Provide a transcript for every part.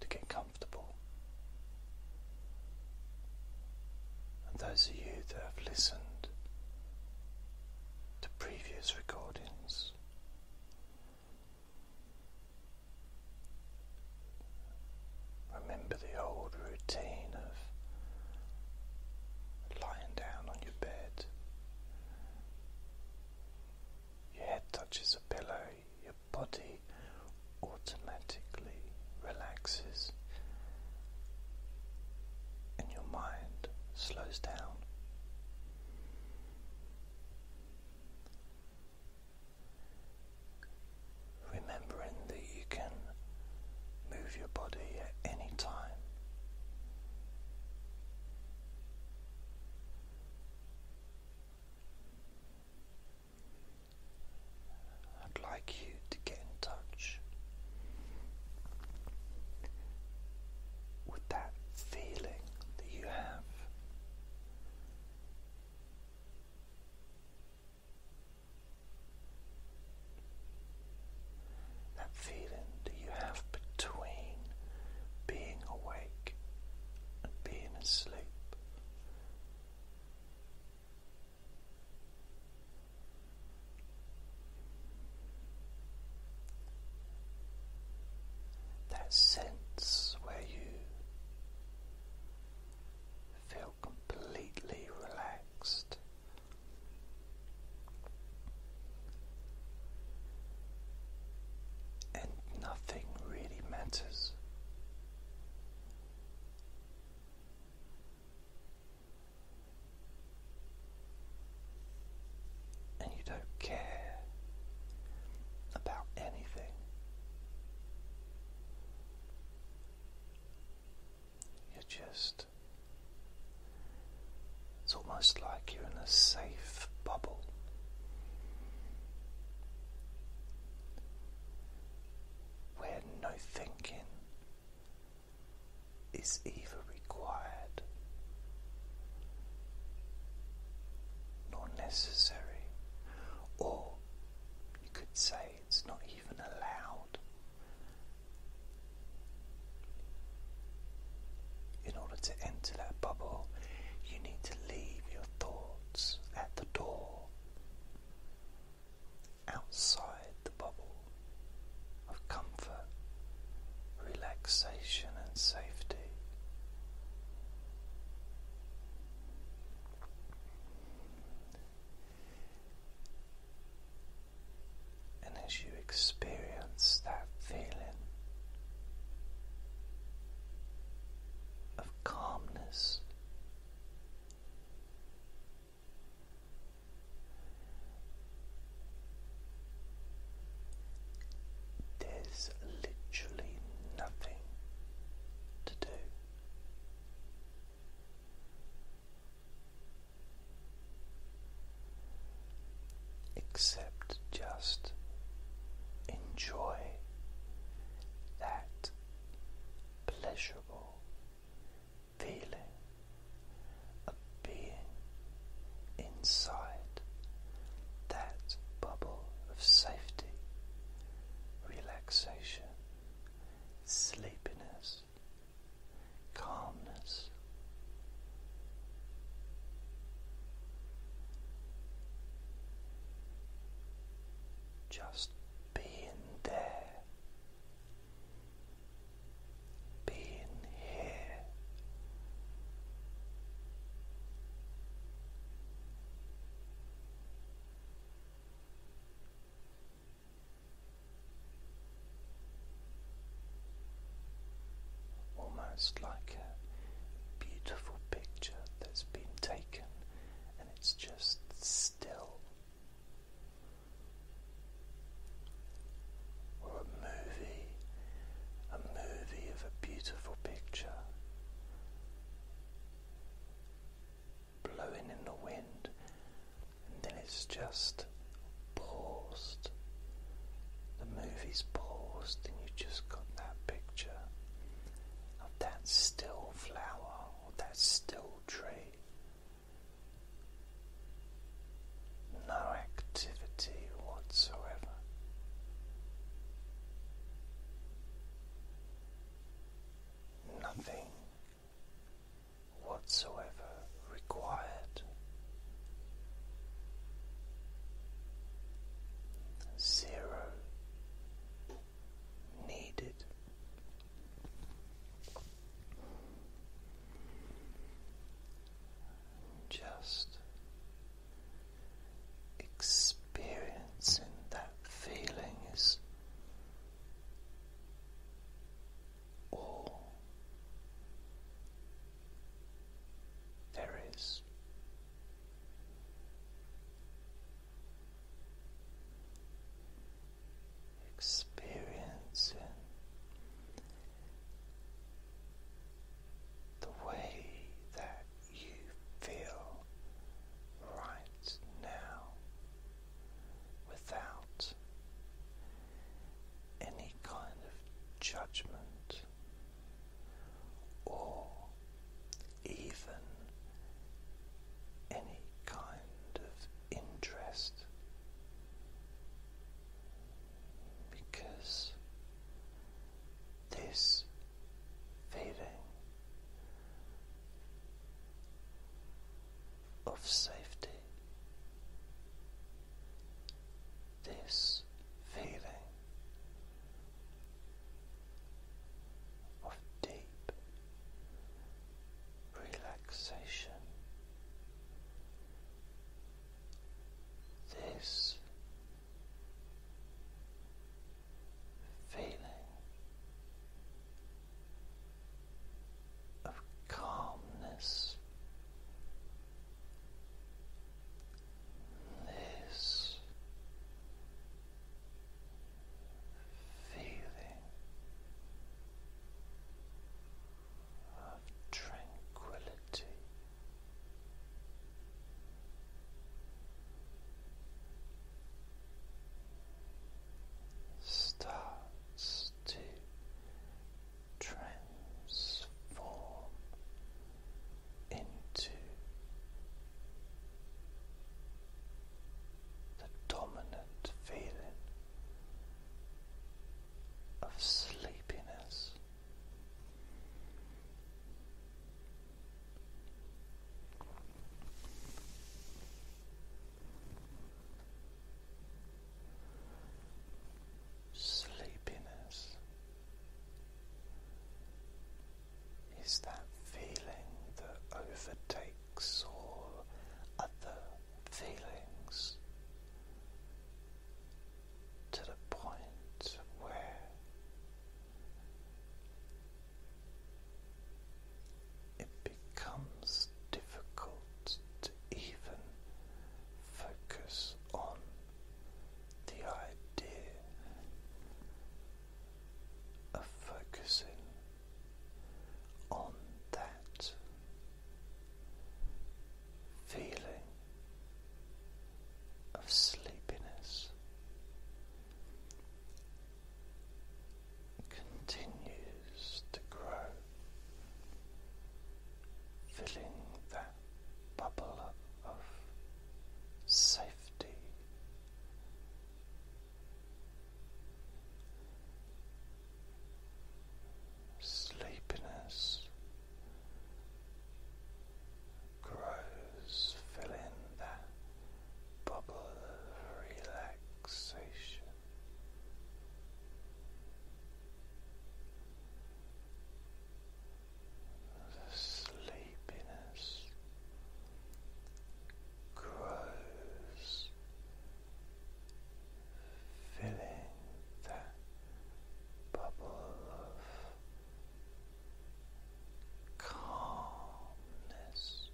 to get comfortable. And those of you that have listened to previous recordings, remember the old routine of lying down on your bed. Your head touches a pillow, your body automatically relaxes and your mind slows down. Remembering that you can move your body at any time. I'd like you to get in touch with that feeling that you have. That feeling that you have between being awake and being asleep. That sense where you feel completely relaxed and nothing really matters. And you don't care about anything. You're just. It's almost like you're in a safe bubble where no thinking is ever required nor necessary, or you could say it's not even allowed. In order to enter that bubble, you need to leave your thoughts at the door, outside the bubble of comfort, relaxation, and safety. And as you experience that feeling, of calmness. There's literally nothing to do except just enjoy that pleasurable feeling of being inside that bubble of safety, relaxation, sleepiness, calmness. Just being there, being here almost like a beautiful picture that's been taken and it's just still. Or a movie, a movie of a beautiful picture blowing in the wind, and then it's just paused. The movie's paused, and you just got that picture of that still flower that still tree. No activity whatsoever. Nothing whatsoever required. Zero needed. Just experiencing that feeling is all there is. Experiencing the way that you feel right now without any kind of judgment or even any kind of interest because this feeling of safety this feeling of deep relaxation. This feeling of calmness this feeling of tranquility. Starts to transform into the dominant feeling of sleepiness. Sleepiness is that feeling that overtakes all other feelings to the point where it becomes difficult to even Focus on the idea of focusing on that feeling of sleepiness. Continues to grow filling that bubble of safety. Sleepiness grows, fill that bubble of relaxation. The sleepiness grows, filling that bubble of calmness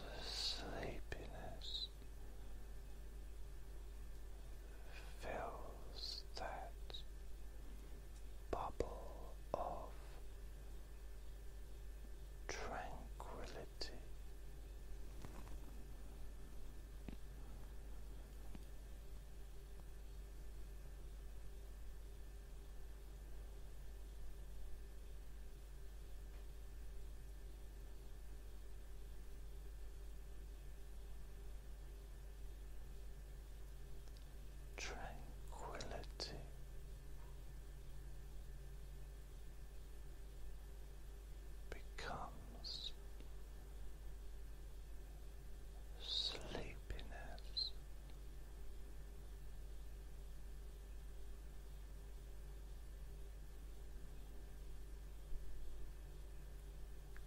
the sleepiness fills that bubble of tranquility. Tranquility. Becomes sleepiness.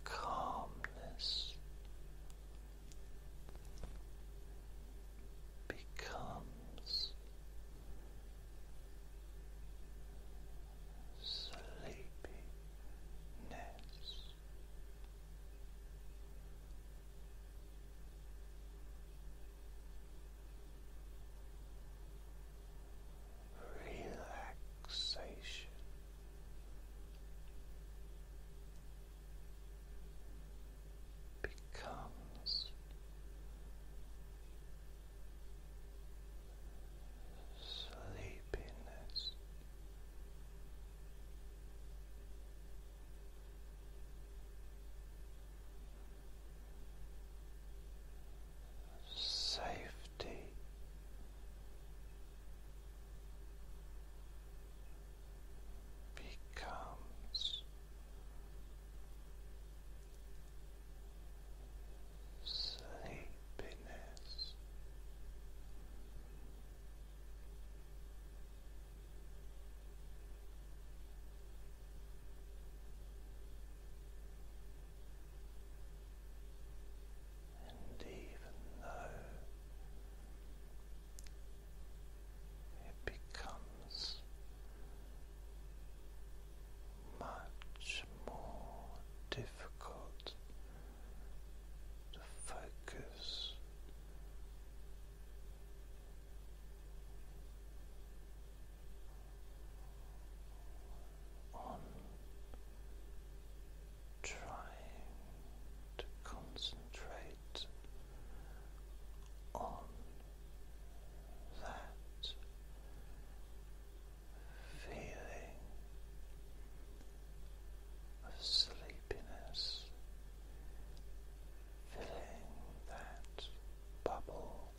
Calmness becomes sleepiness relaxation. Becomes sleepiness Safety. Becomes sleepiness, and even though it becomes much more difficult to focus on trying to concentrate on that feeling of sleepiness, filling that bubble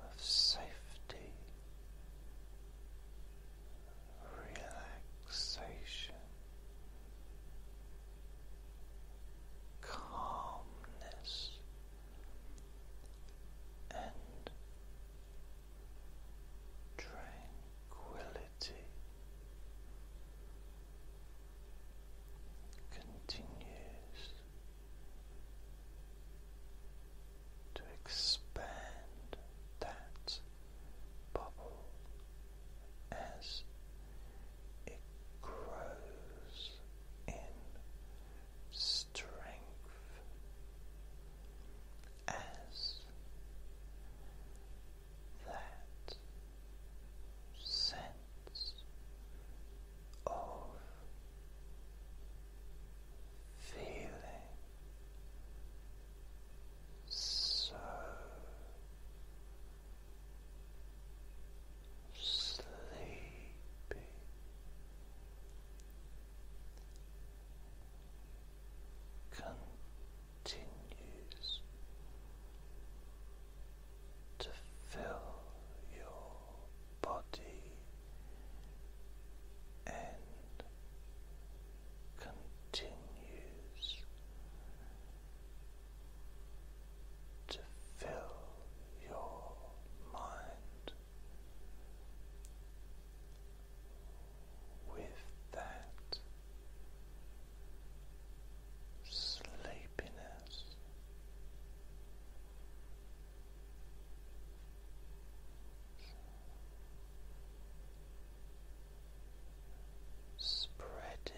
of safety, relaxation, calmness, and tranquility continues to expand that bubble as it grows in strength as that sense of feeling so sleepy continues to fill your body and continues to fill your mind with that sleepiness. Spreading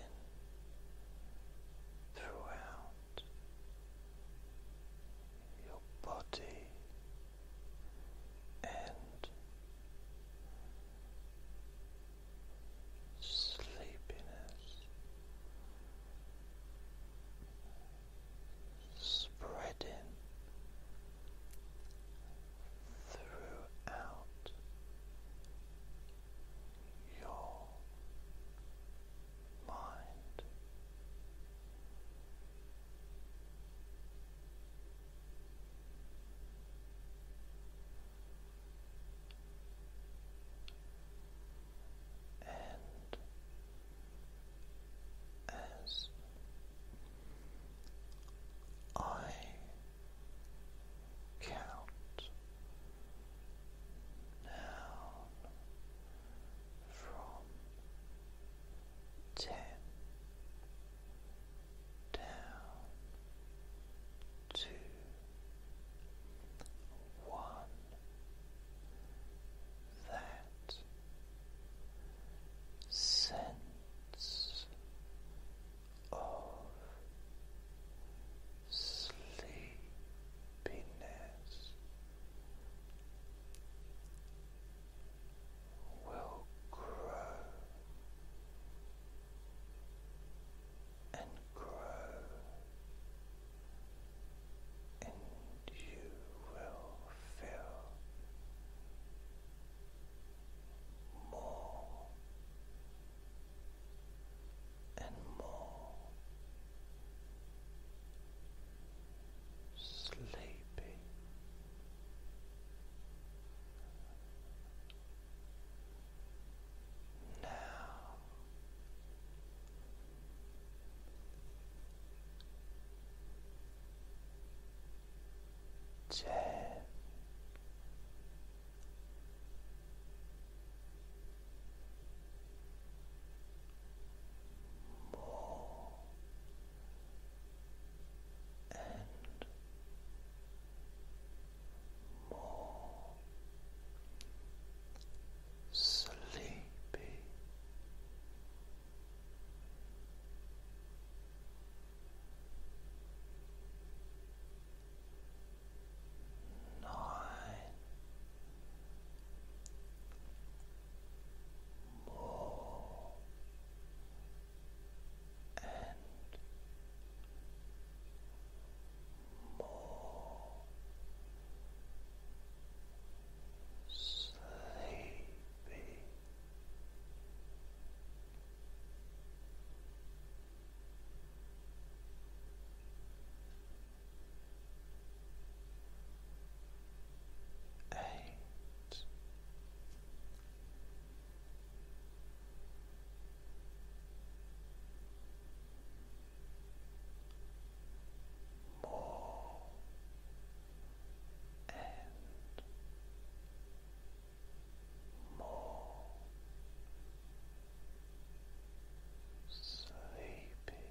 throughout your body and sleepiness spreading throughout your mind. And as I count down from ten down to one that sense of sleepiness will grow and grow, and you will feel more and more sleepy. Now ten more and more sleepy. Nine more and more sleepy eight. More and more sleepy.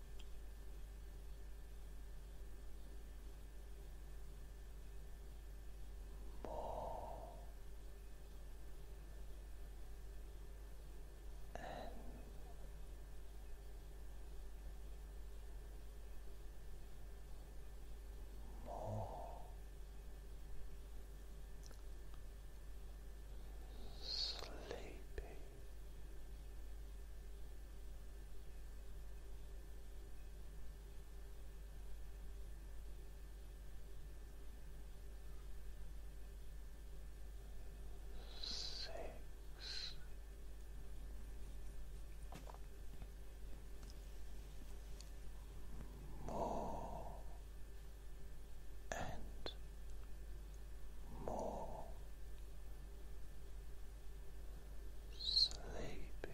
more and more sleepy Six. More and more sleepy. Five